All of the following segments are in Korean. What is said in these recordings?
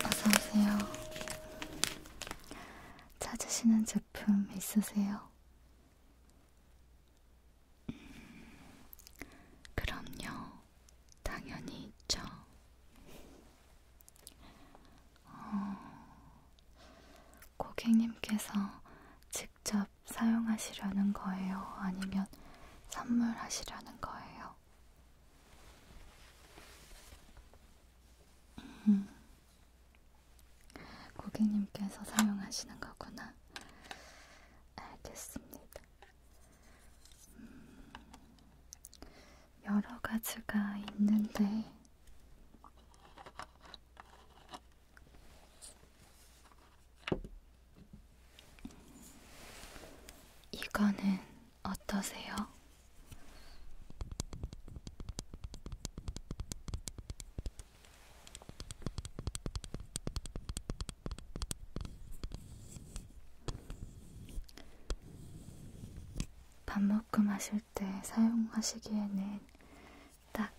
어서오세요. 찾으시는 제품 있으세요? 음, 그럼요. 당연히 있죠. 어, 고객님께서 직접 사용하시려는 거예요? 아니면 선물하시려는 거예요? 음, 고객님께서 사용하시는 거구나. 알겠습니다. 음, 여러 가지가 있는데, 이거는 어떠세요? 반묶음 하실 때 사용하시기에는 딱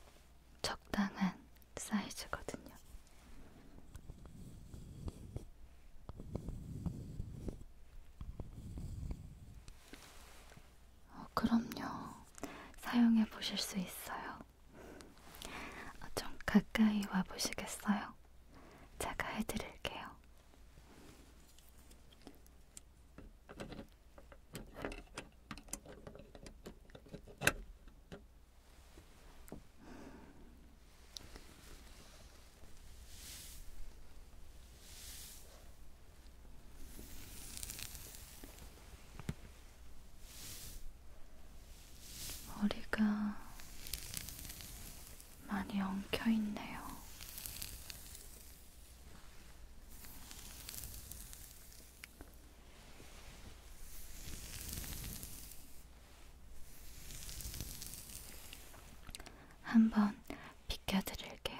적당한 사이즈거든요. 어, 그럼요. 사용해 보실 수 있어요. 어, 좀 가까이 와 보시겠어요? 제가 해드릴게요. 머리가 많이 엉켜 있네요. 한번 비켜드릴게요.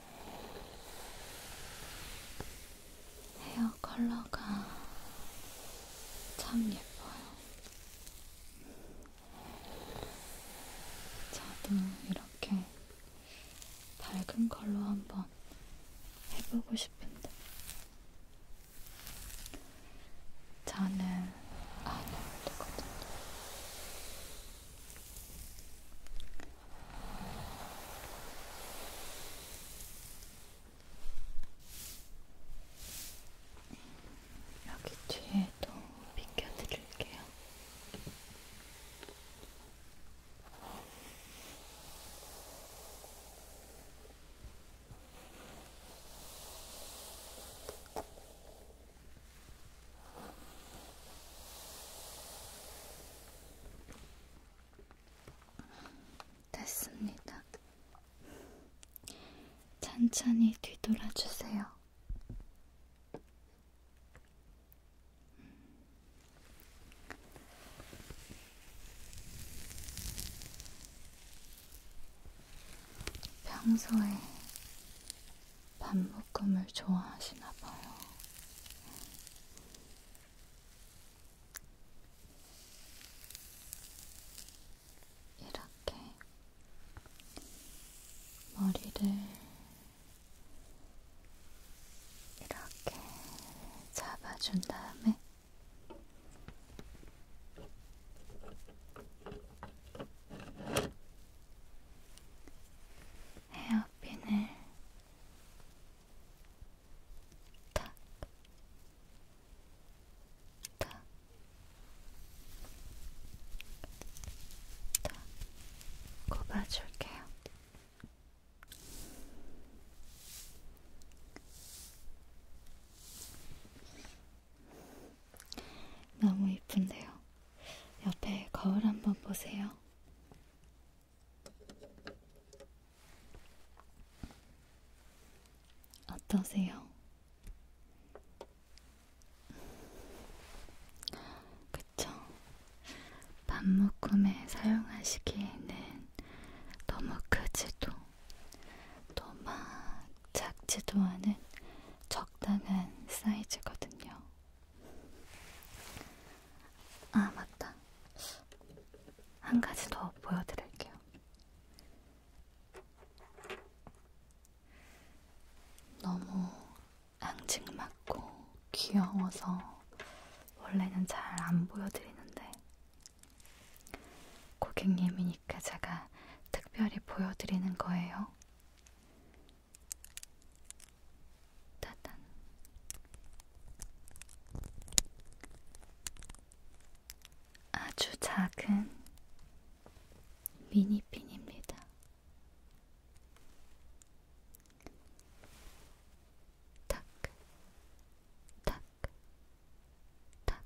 헤어 컬러가 참 예뻐요. 저도 이렇게 밝은 컬러 한번 해보고 싶은데, 저는 안 아, 어울리거든요. 네, 여기 뒤에도 비껴드릴게요. 됐습니다. 천천히 뒤돌아주세요. 평소에 반묶음을 좋아하시나 봐요. 이렇게 머리를 이렇게 잡아준 다음에 헤어핀을 탁, 탁, 탁, 꼽아줄게요. 너무 이쁜데요. 옆에 거울 한번 보세요. 어떠세요? 그쵸? 반묶음에 사용하시기에는 너무 크지도 너무 작지도 않은 적당한 사이즈거든요. 아, 맞다. 한 가지 더 보여드릴게요. 너무 앙증맞고 귀여워서 원래는 잘 안 보여드리는데 고객님이니까 제가 특별히 보여드리는 거예요. 따단 아주 작은 미니핀입니다. 탁, 탁, 탁, 탁, 탁,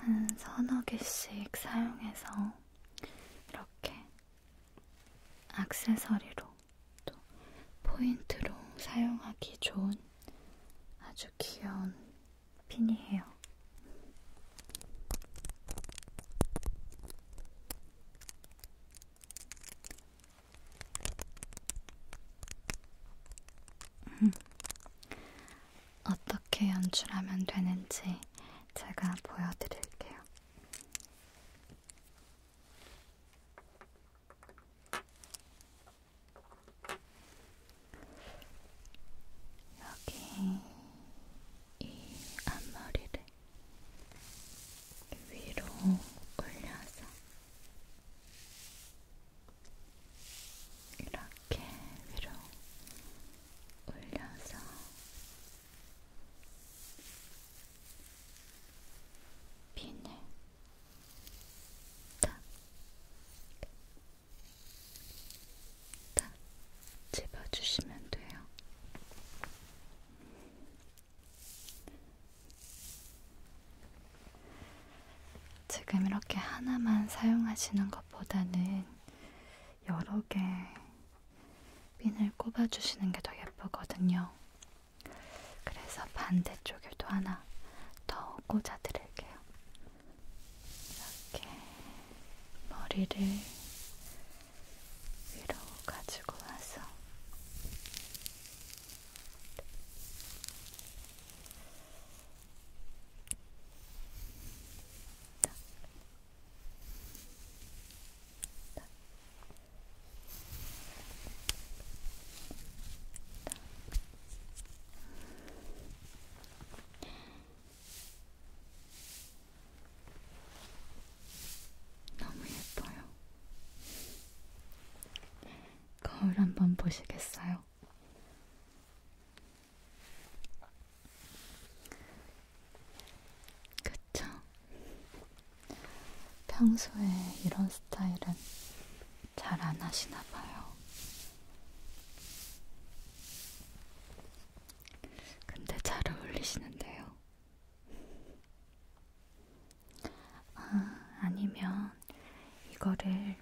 한 서너 개씩 사용해서 이렇게 악세서리로 또 포인트로 사용하기 좋은 아주 귀여운 핀이에요. 음. 어떻게 연출하면 되는지 제가 보여드릴게요. 여기 이 앞머리를 위로 올려서 이렇게 위로 올려서 핀을 딱, 딱 집어주시면 돼요. 지금 이렇게 하나만 사용하시는 것보다는 여러 개 핀을 꼽아주시는 게 더 예쁘거든요. 그래서 반대쪽에도 하나 더 꽂아드릴게요. 이렇게 머리를 위로 가지고 와서 딱. 딱. 딱. 너무 예뻐요. 거울 한번 보시겠어요? 그쵸? 평소에 이런 스타일은 잘 안 하시나 봐요. 근데 잘 어울리시는데요. 아, 아니면 이거를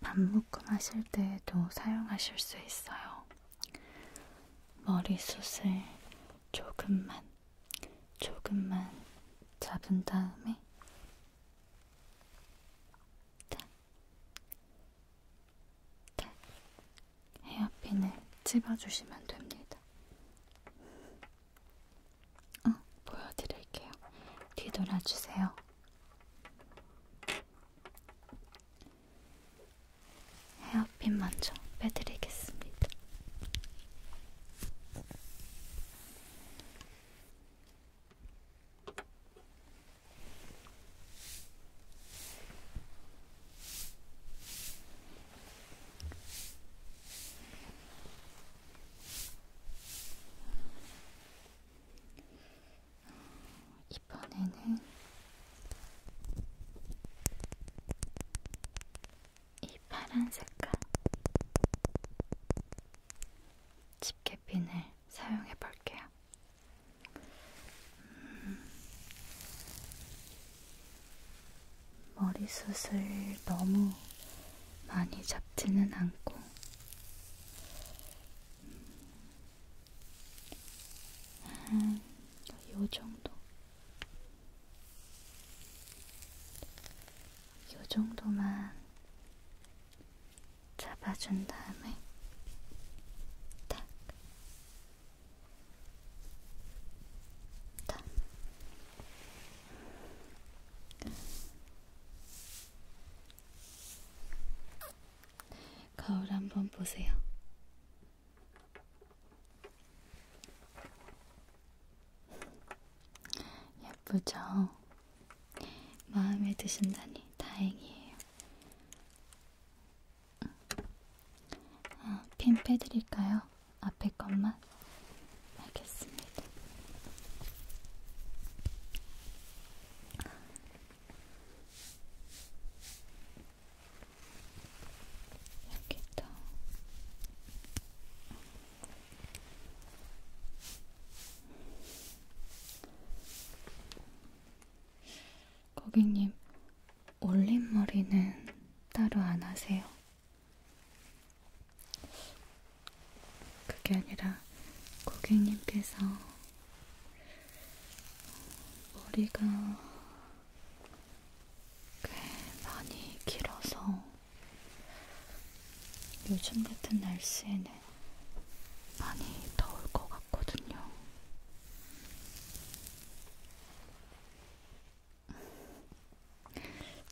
밥 묶음 하실 때에도 사용하실 수 있어요. 머리숱을 조금만, 조금만 잡은 다음에 딱 네. 헤어핀을 집어주시면 됩니다. 어, 보여드릴게요. 뒤돌아주세요. 헤어핀 먼저 빼드리겠습니다. 이번에는 이 파란 색깔 집게핀을 사용해 볼게요. 음, 머리숱을 너무 많이 잡지는 않고, 한, 요 정도. 요 정도만 잡아준 다음에 탁 거울 한번 보세요. 예쁘죠? 마음에 드신다니 다행이에요. 아, 핀 빼드릴까요? 앞에 것만? 알겠습니다. 여기도 고객님, 올림머리는 따로 안 하세요? 그게 아니라 고객님께서 머리가 꽤 많이 길어서 요즘 같은 날씨에는 많이 더울 것 같거든요.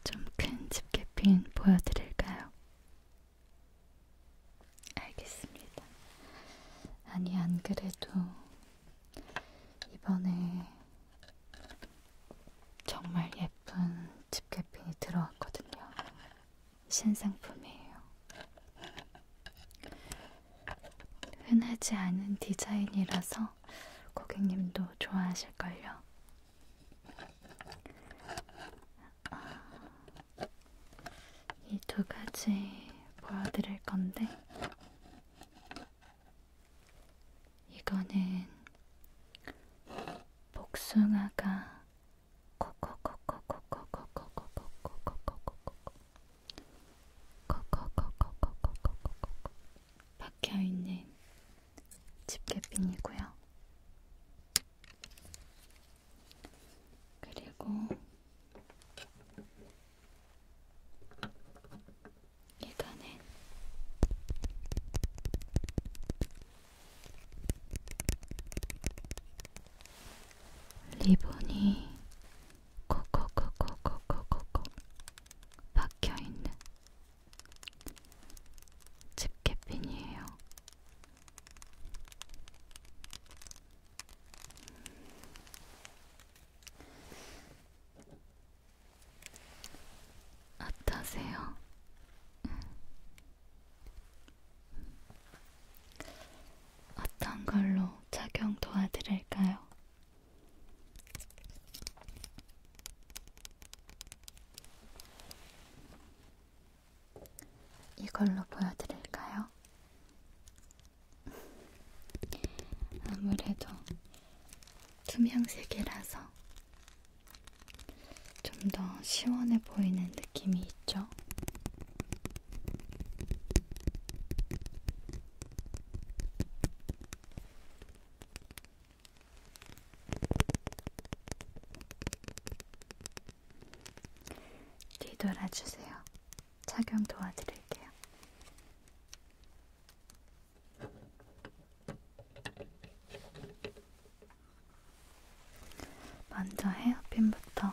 좀큰 집게핀 보여드릴까요? 알겠습니다. 아니, 안 그래도 이번에 정말 예쁜 집게핀이 들어왔거든요. 신상품이에요. 흔하지 않은 디자인이라서 고객님도 좋아하실걸요. 아, 이두 가지 보여드릴 건데, 이거는 복숭아가 박혀있는 집게핀이고요. 그리고 이거는 리본이 콕콕콕콕콕콕콕 박혀있는 집게핀이에요. 어떠세요? 어떤 걸로 착용 도와드릴까요? 이걸로 보여드릴까요? 아무래도 투명색이라서 좀 더 시원해 보이는 느낌이 있죠? 뒤돌아주세요. 착용 도와드릴게요. 먼저 헤어핀부터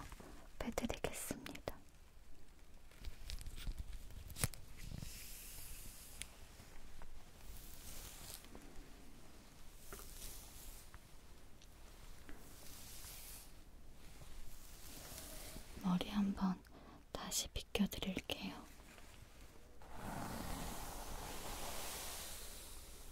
빼드리겠습니다. 머리 한번 다시 빗겨드릴게요.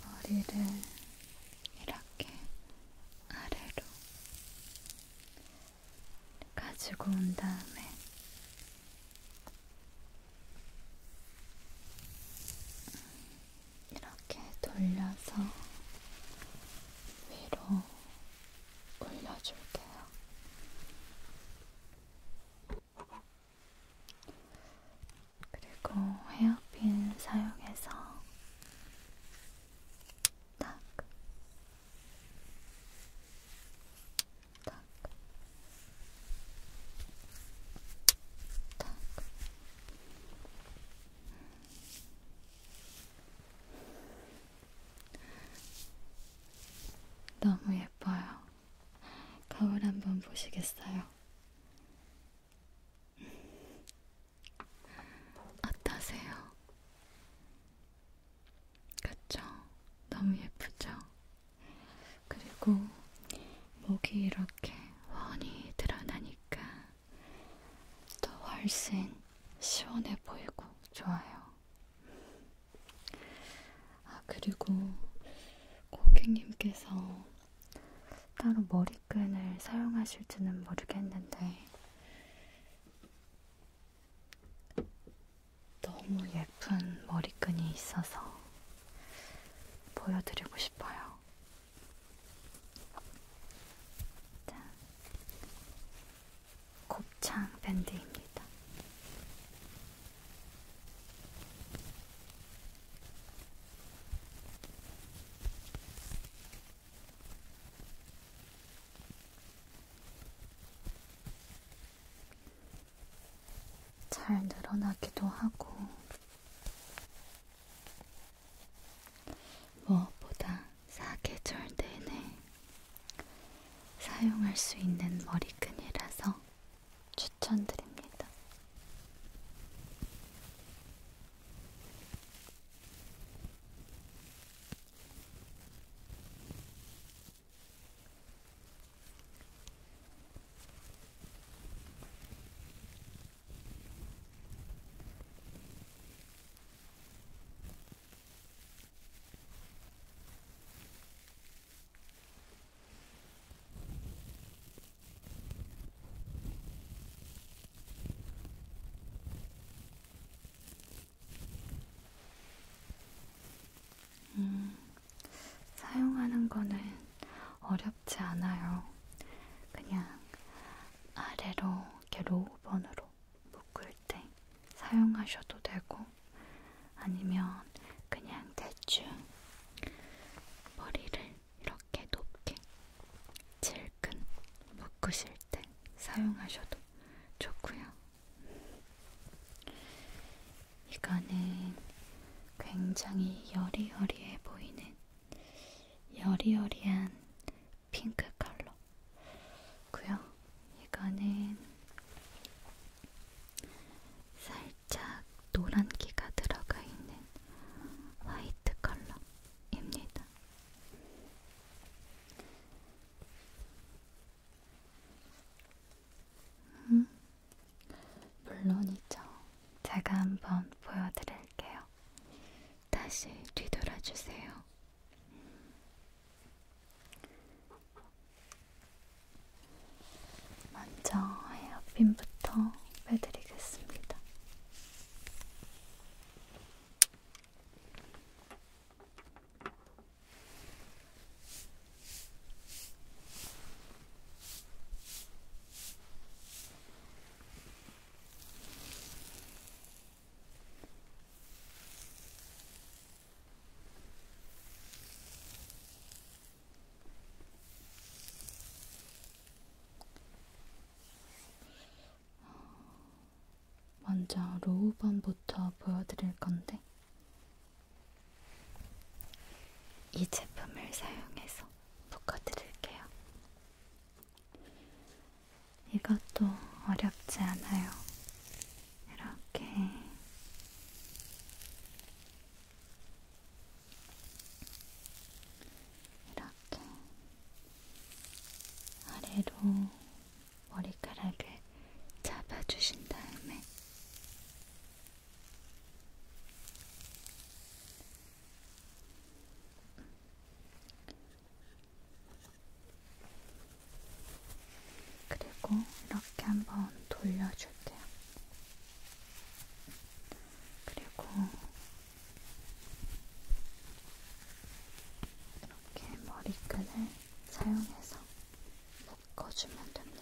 머리를 이렇게 아래로 가지고 온 다음에 이렇게 돌려서 위로 올려줄게요. 그리고 헤어핀 사용해서 딱, 딱, 딱. 너무 예뻐요. 거울 한번 보시겠어요? 어떠세요? 그쵸? 너무 예쁘죠? 그리고 목이 이렇게 훤히 드러나니까 더 훨씬 시원해 보이고 좋아요. 아, 그리고 고객님께서 따로 머리끈을 사용하실지는 모르겠는데, 너무 예쁜 머리끈이 있어서 보여드리고 싶어요. 자, 곱창 밴드입니다. 잘 늘어나기도 하고 무엇보다 사계절 내내 사용할 수 있는 머리끈이라서 추천드립니다. 음, 사용하는 거는 어렵지 않아요. 그냥 아래로 이렇게 로우번으로 묶을 때 사용하셔도 되고 아니면 그냥 대충 머리를 이렇게 높게 질끈 묶으실 때 사용하셔도 좋고요. 이거는 굉장히 여리여리해 보이는 여리여리한 핑크 컬러 고요. 이거는 살짝 노란기가 들어가 있는 화이트 컬러입니다. 음, 물론이죠. 제가 한번 보여드릴게요. 다시 뒤돌아주세요. 먼저 헤어핀부터 빼드리겠습니다. 먼저 로우번부터 보여드릴 건데, 이 제품을 사용해서 볶아드릴게요. 이것도 어렵지 않아요. 이렇게 이렇게 아래로 머리카락을 잡아주신 다음에 그리고 이렇게 한번 돌려줄게요. 그리고 이렇게 머리끈을 사용해서 묶어주면 됩니다.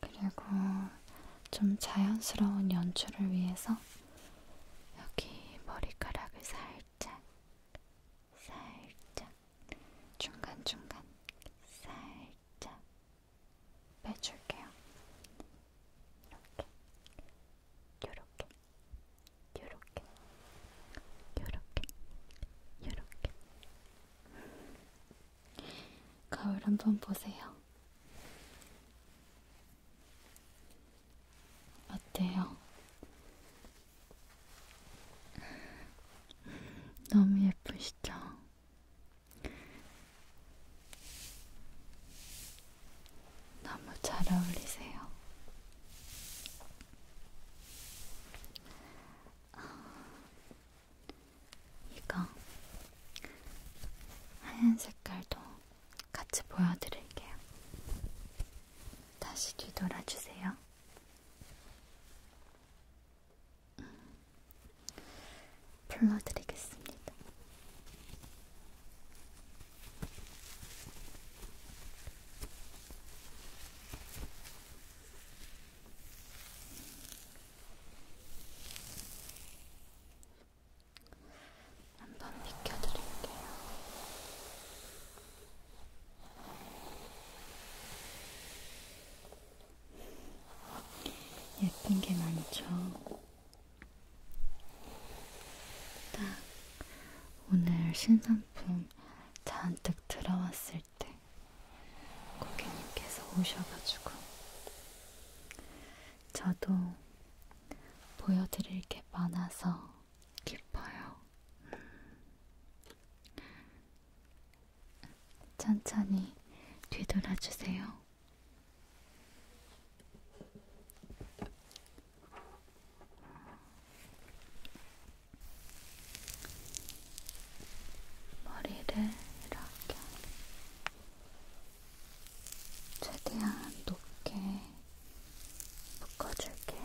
그리고 좀 자연스러운 연출을 위해서 여기 머리카락을 살짝, 살짝, 중간중간 살짝 빼줄게요. 이렇게 요렇게 요렇게 요렇게 요렇게 거울 한번 보세요. 어때요? 너무 예쁘시죠? 너무 잘 어울리세요. 이거 하얀 색깔도 같이 보여드릴게요. 다시 뒤돌아주세요. 불러드리겠습니다. 한번 비켜드릴게요. 예쁜 게 많죠? 딱 오늘 신상품 잔뜩 들어왔을 때 고객님께서 오셔가지고 저도 보여드릴 게 많아서 기뻐요. 음. 천천히 뒤돌아주세요. 머리를 이렇게 최대한 높게 묶어줄게요.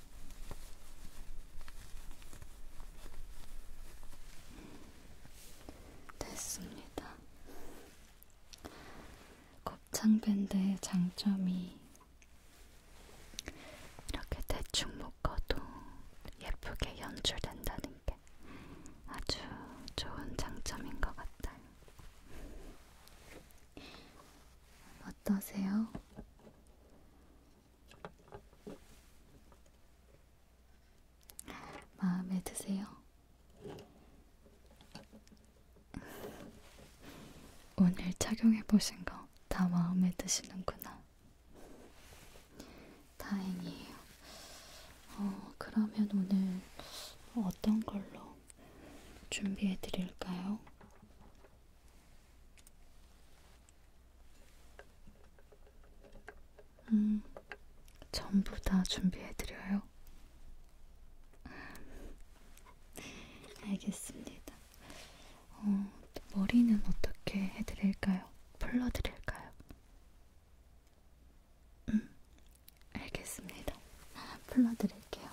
됐습니다. 곱창밴드의 장점이 이렇게 대충 묶어도 예쁘게 연출된다는 게 아주 좋은 장점인 것 같아요. 어떠세요? 마음에 드세요? 오늘 착용해보신 거 다 마음에 드시는구나. 다행이에요. 어, 그러면 오늘 어떤 걸로 준비해 드릴까요? 음, 전부 다 준비해드려요. 알겠습니다. 어, 머리는 어떻게 해드릴까요? 풀러드릴까요? 음, 알겠습니다. 풀러드릴게요.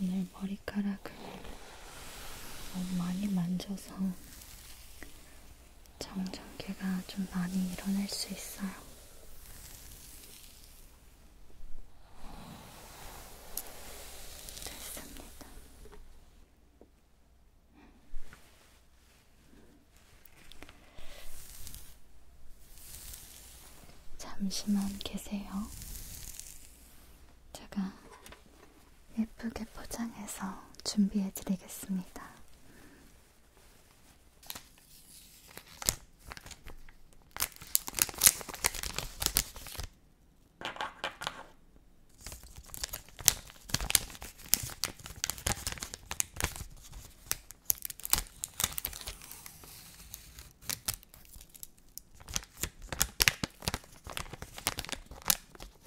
오늘 머리카락을 너무 많이 만져서 정전기가 좀 많이 일어날 수 있어요. 됐습니다. 잠시만 계세요. 제가 예쁘게 포장해서 준비해 드리겠습니다.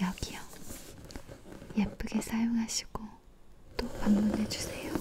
여기요. 예쁘게 사용하시고 또 방문해 주세요.